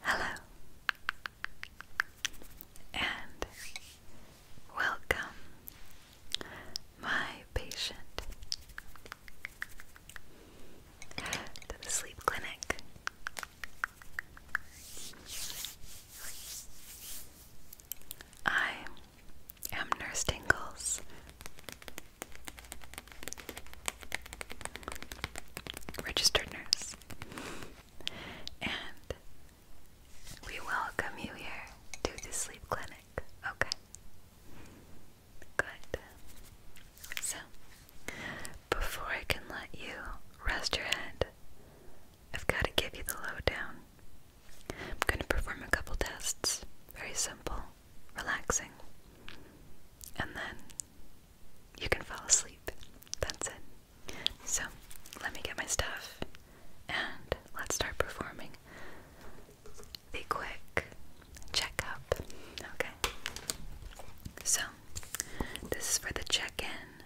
Hello, and welcome, my patient, to the sleep clinic. I i am Nurse Tingles. Registered nurse. And we welcome you here to the sleep clinic. Okay. Good. So, before I can let you rest your head, I've got to give you the lowdown. I'm going to perform a couple tests. Very simple relaxing. And then you can fall asleep. That's it. So, let me get my stuff and let's start performing the quick checkup. Okay. So, this is for the check in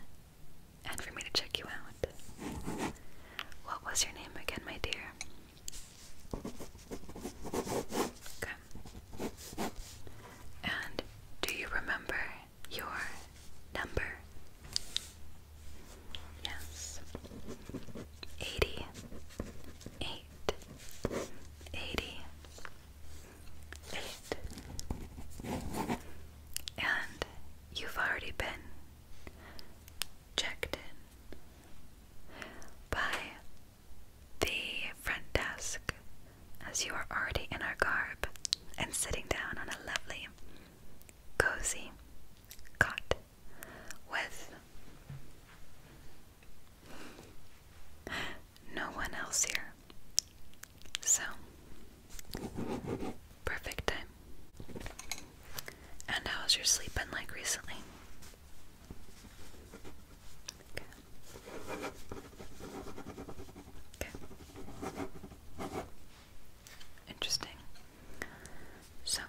and for me to check you out. What was your name again, my dear? Okay. And do you remember your number? Yes. Eighty eight. And you've already been checked in by the front desk as you are already in our garb and sitting down on a lovely, cozy cot with no one else here. So, perfect time. And how's your sleep been like recently? Okay. Okay. Interesting. So,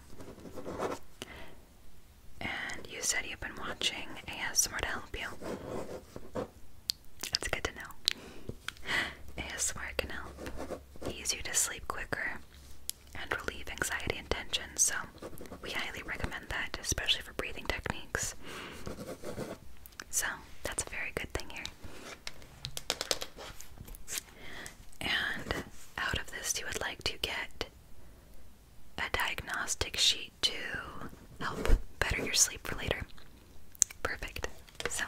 and you said you've been watching ASMR to help you. That's good to know. ASMR can help ease you to sleep quicker and relieve anxiety and tension. So, we highly recommend that, especially for breathing techniques. So, that's a very good thing here. And out of this, you would like to get a diagnostic sheet to help better your sleep for later. Perfect. So,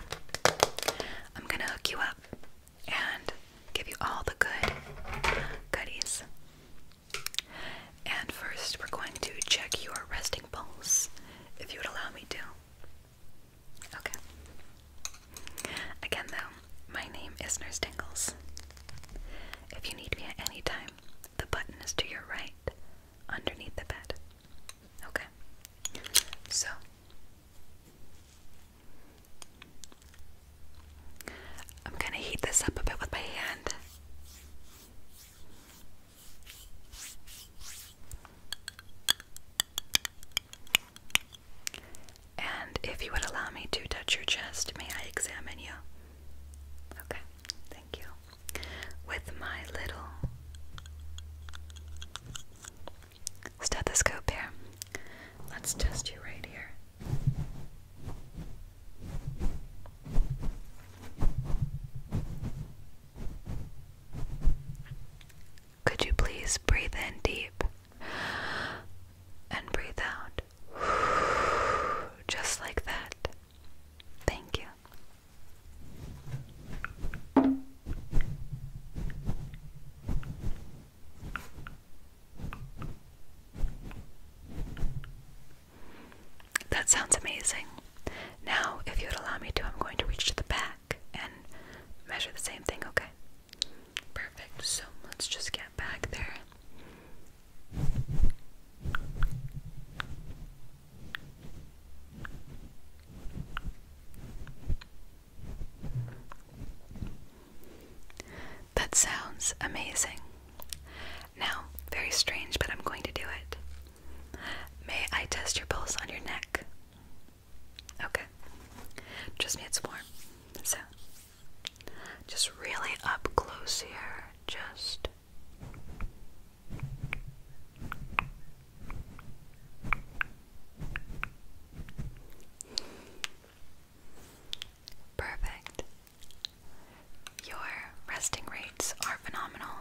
I'm gonna hook you up and give you all the good goodies. And first, we're going to check your resting pulse, if you would allow me to. Okay. Again, though, my name is Nurse Tingles. If you need me at any time, the button is to your right, underneath the bed. Okay. So, I'm going to heat this up a bit with my hand. And if you would allow me to touch your chest, may I examine you? Okay, thank you. With my little stethoscope here, let's test you right here. Could you please breathe in deep and breathe out just like that? Thank you. That sounds amazing. Now, if you would allow me to, I'm going to reach to the back and measure the same thing, okay? Perfect. So let's just get back there. That sounds amazing. Now, very strange, but I'm going to do it. May I test your pulse on your neck? Okay. Trust me, it's warm. So, just really up close here. Just. Perfect. Your resting rates are phenomenal.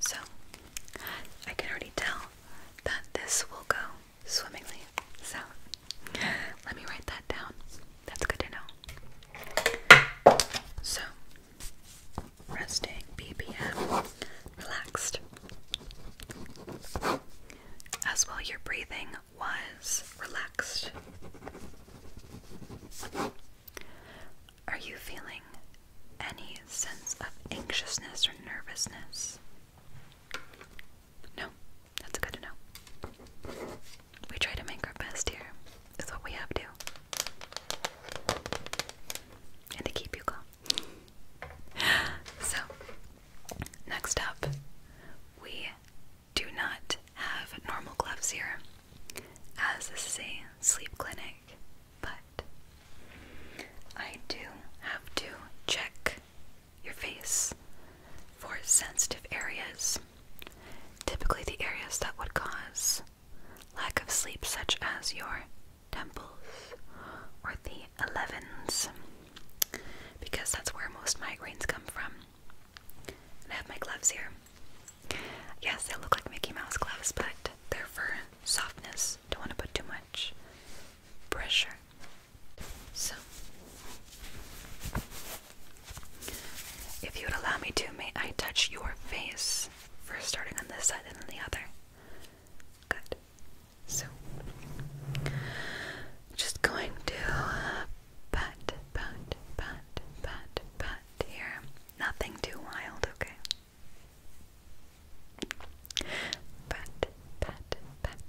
So, I can already tell that this will go swimmingly. So, let me write that down. That's good to know. So, resting BPM relaxed as well your breathing was relaxed. Are you feeling any sense of anxiousness or nervousness? No, that's good to know. We try to make our best here, is what we have to. And to keep you calm. so, Next up, we do not have normal gloves here, as this is a sleep clinic, but I do have to check your face for sensitive areas, typically the areas that would cause lack of sleep, such as your temples or the elevens because that's where most migraines come from. I have my gloves here. Yes, they look like Mickey Mouse gloves, but they're for softness. Don't want to put too much pressure. So, if you would allow me to, may I touch your face? First, starting on this side and then the other. Good. So, just going to uh, pat, pat, pat, pat, pat here. Nothing too wild, okay? Pat, pat, pat, pat,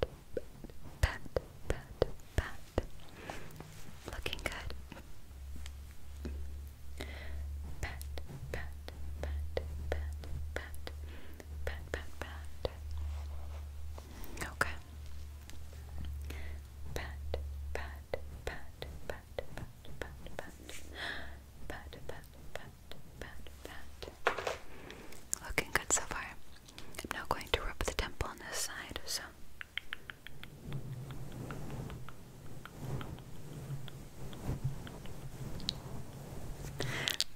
pat, pat. Looking good. Pat, pat, pat, pat, pat. Okay. Looking good so far. I'm now going to rub the temple on this side, so.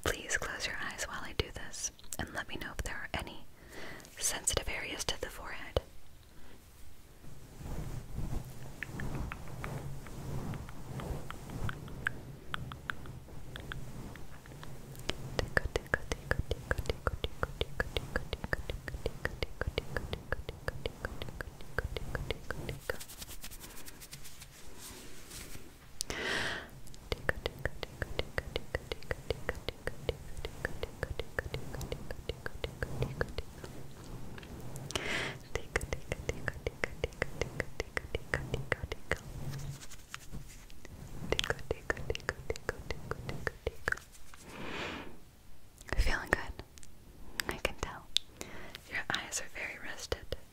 Please close your eyes while I do this and let me know if there are any sensitive areas to the forehead. Feeling good. I can tell. Your eyes are very rested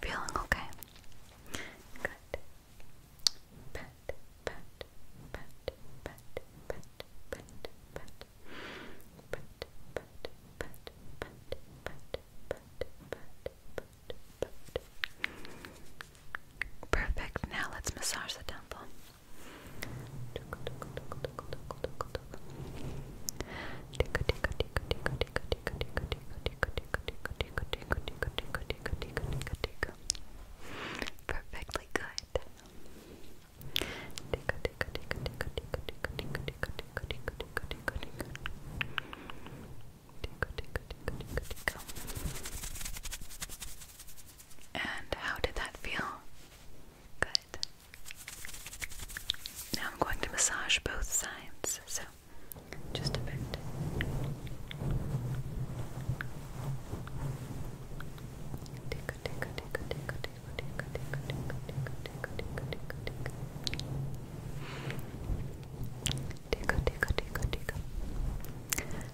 Feeling okay? Good. Perfect. Now let's massage the temple. Perfectly good. And how did that feel? Good. Now I'm going to massage both sides, so just a bit. Tickle, tickle, tickle, tickle, tickle, tickle, tickle, tickle, tickle, tickle, tickle, tickle. Tickle, tickle, tickle, tickle.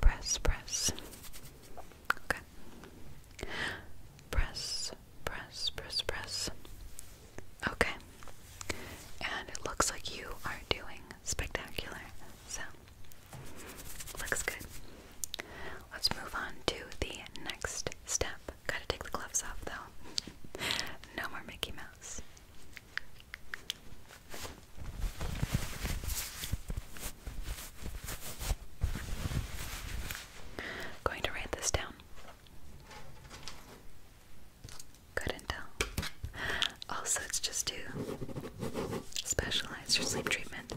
press, press. Okay. Press, press, press, press. Okay. And it looks like you are doing spectacular. So, looks good. Let's move on to the next step. Gotta take the gloves off though. no more Mickey Mouse going to write this down. Couldn't Also, it's just to specialize your sleep treatment.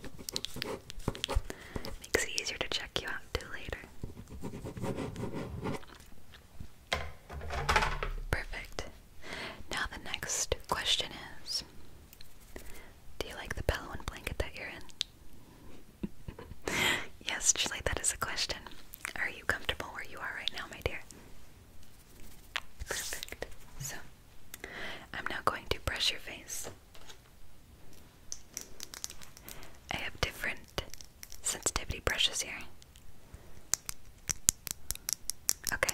Makes it easier to check you out too later. Perfect. Now, the next question is do you like the pillow and blanket that you're in? yes, Julie, that is a question. Are you comfortable where you are right now, my dear? Perfect. So, I'm now going to brush your face. I have different sensitivity brushes here. Okay,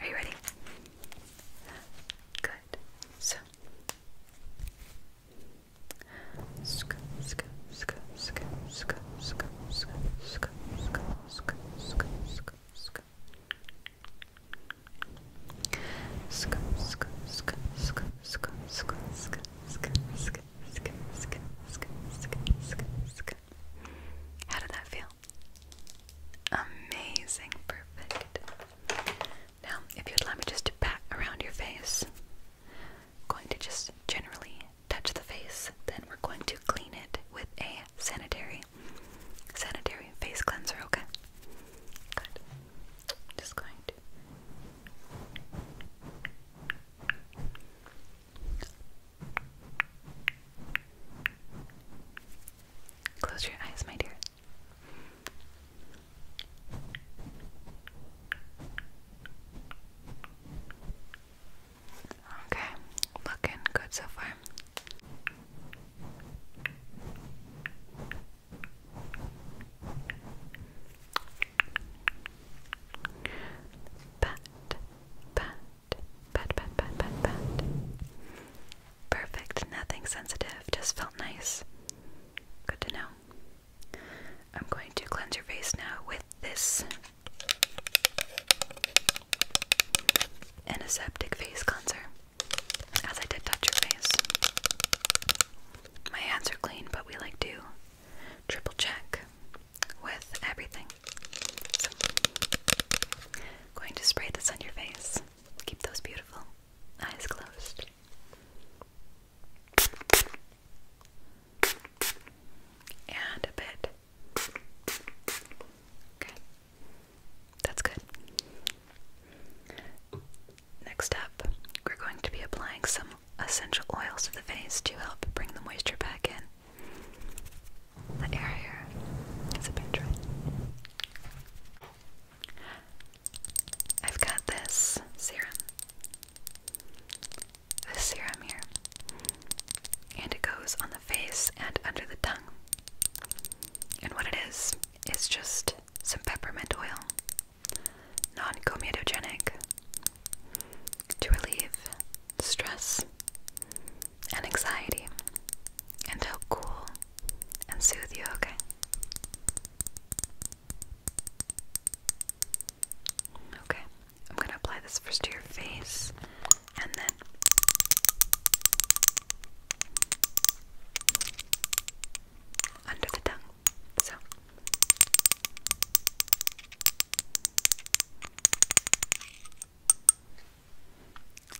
are you ready? Good. So, sk, sk, sk, sk, sk, sk, sk, sk, sk, sk, sk, sk, sk. Sk, sk, sk, sk, sk, sk, sk, sk, sk, sk, sk, sk, sk, sk, sk, sk. How did that feel? Amazing, perfect. Now, if you'd let me just pat around your face, going to just generally touch the face, then we're going to clean it with a sanitary, sanitary face cleanser, okay? Good. Just going to Close your eyes, my dear. Okay, looking good so far. Pat, pat, pat, pat, pat, pat, pat. Perfect, nothing sensitive, just felt nice. Good to know. I'm going to cleanse your face now with this antiseptic face cleanser, as I did touch your face. My hands are clean, but we like to triple check with everything. going to spray this on your face. Keep those beautiful eyes closed. And a bit. Okay. That's good. Next up, we're going to be applying some essential oils to the face to help bring the moisture back in. The area is a bit dry. I've got this serum. This serum here. And it goes on the face and under the tongue. And what it is, is just some peppermint oil. Non comedogenic. To relieve stress and anxiety and help cool and soothe you, okay? Okay, I'm gonna apply this first to your face and then. Under the tongue. So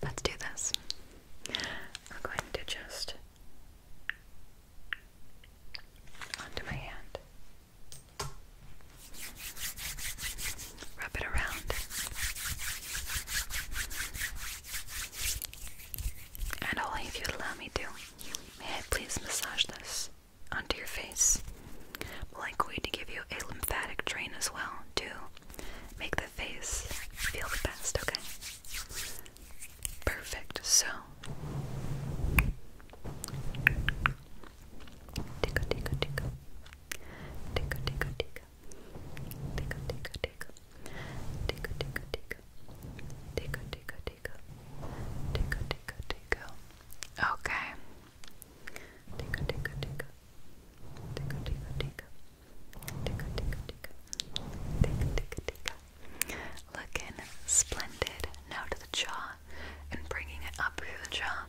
Let's do this. I'm going to just onto my hand. Rub it around. And only if you allow me to, may I please massage this onto your face? I'm going to give you a lymphatic drain as well to make the face feel the best, okay? Perfect. So Okay, Tickle, tickle, tickle. Tickle, tickle, tickle. Tickle, tickle, tickle. Tickle, tickle, Looking splendid. Now to the jaw and bringing it up through the jaw.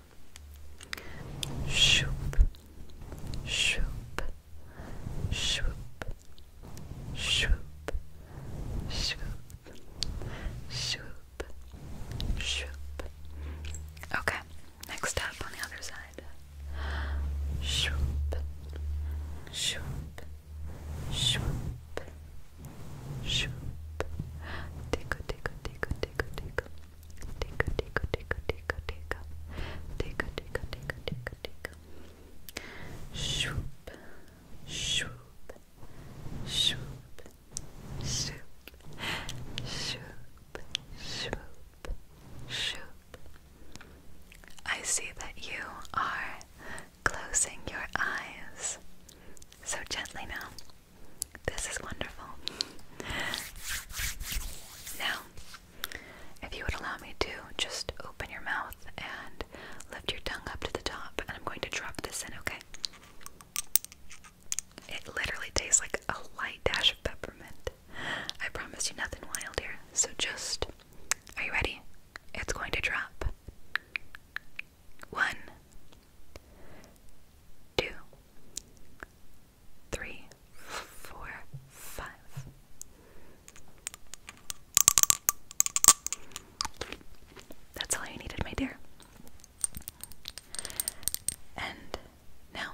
Shoop, shoop, shoop, shoop, shoop, shoop shoop. Okay, next up on the other side. Shoop, shoop, shoop, shoop. Tickle, tickle, tickle, tickle, tickle. Tickle, tickle, tickle, tickle, tickle. Tickle, tickle, tickle, tickle, tickle. Shoop, shoop, shoop shoop, shoop, shoop, shoop. I see that you are closing your eyes so gently now. This is wonderful. Now, if you would allow me to, just open your mouth and lift your tongue up to the top, and I'm going to drop this in, okay? It literally tastes like a light dash of peppermint. I promise you nothing wild here. So just, are you ready? It's going to drop. One, two, three, four, five. That's all you needed, my dear. And now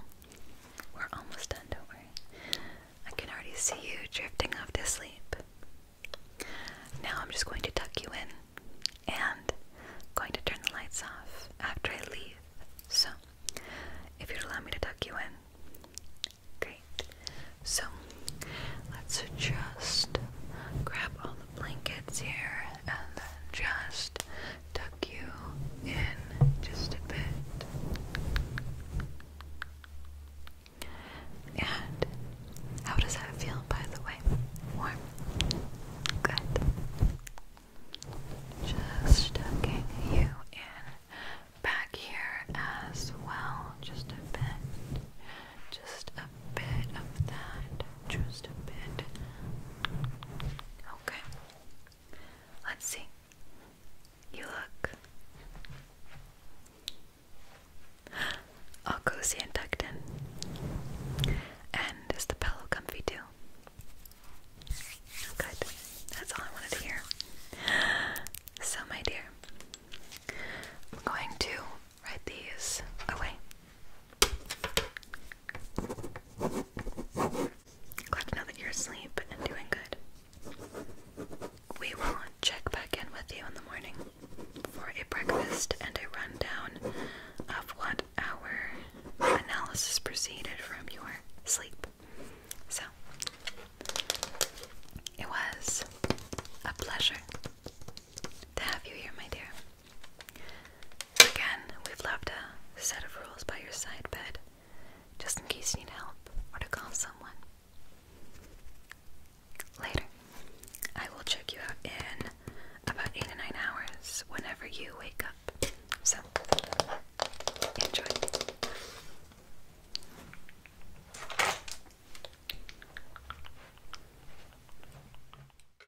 we're almost done, don't worry. I can already see you drifting off to sleep. Now I'm just going to tuck you in and going to turn the lights off after I leave. So, if you'd allow me to tuck you in, great. So, let's just grab all the blankets here and then just tuck you in just a bit. And how does that feel, by the way? Warm? Good. Just tucking you in back here as well, just a bit. Just a bit of that just a bit. Okay. Let's see. You look. All cozy and tucked in. And is the pillow comfy too? Oh, good. That's all I wanted to hear. So, my dear, I'm going to write these away. Glad that you're asleep and doing good. We will check back in with you in the morning for a breakfast and a rundown of what our analysis proceeded from your sleep. So, it was a pleasure to have you here, my dear. Again, we've left a set of rules by your side bed, just in case you need help or to call someone. Later, I will check you out in about 8 to 9 hours whenever you wake up. So, enjoy.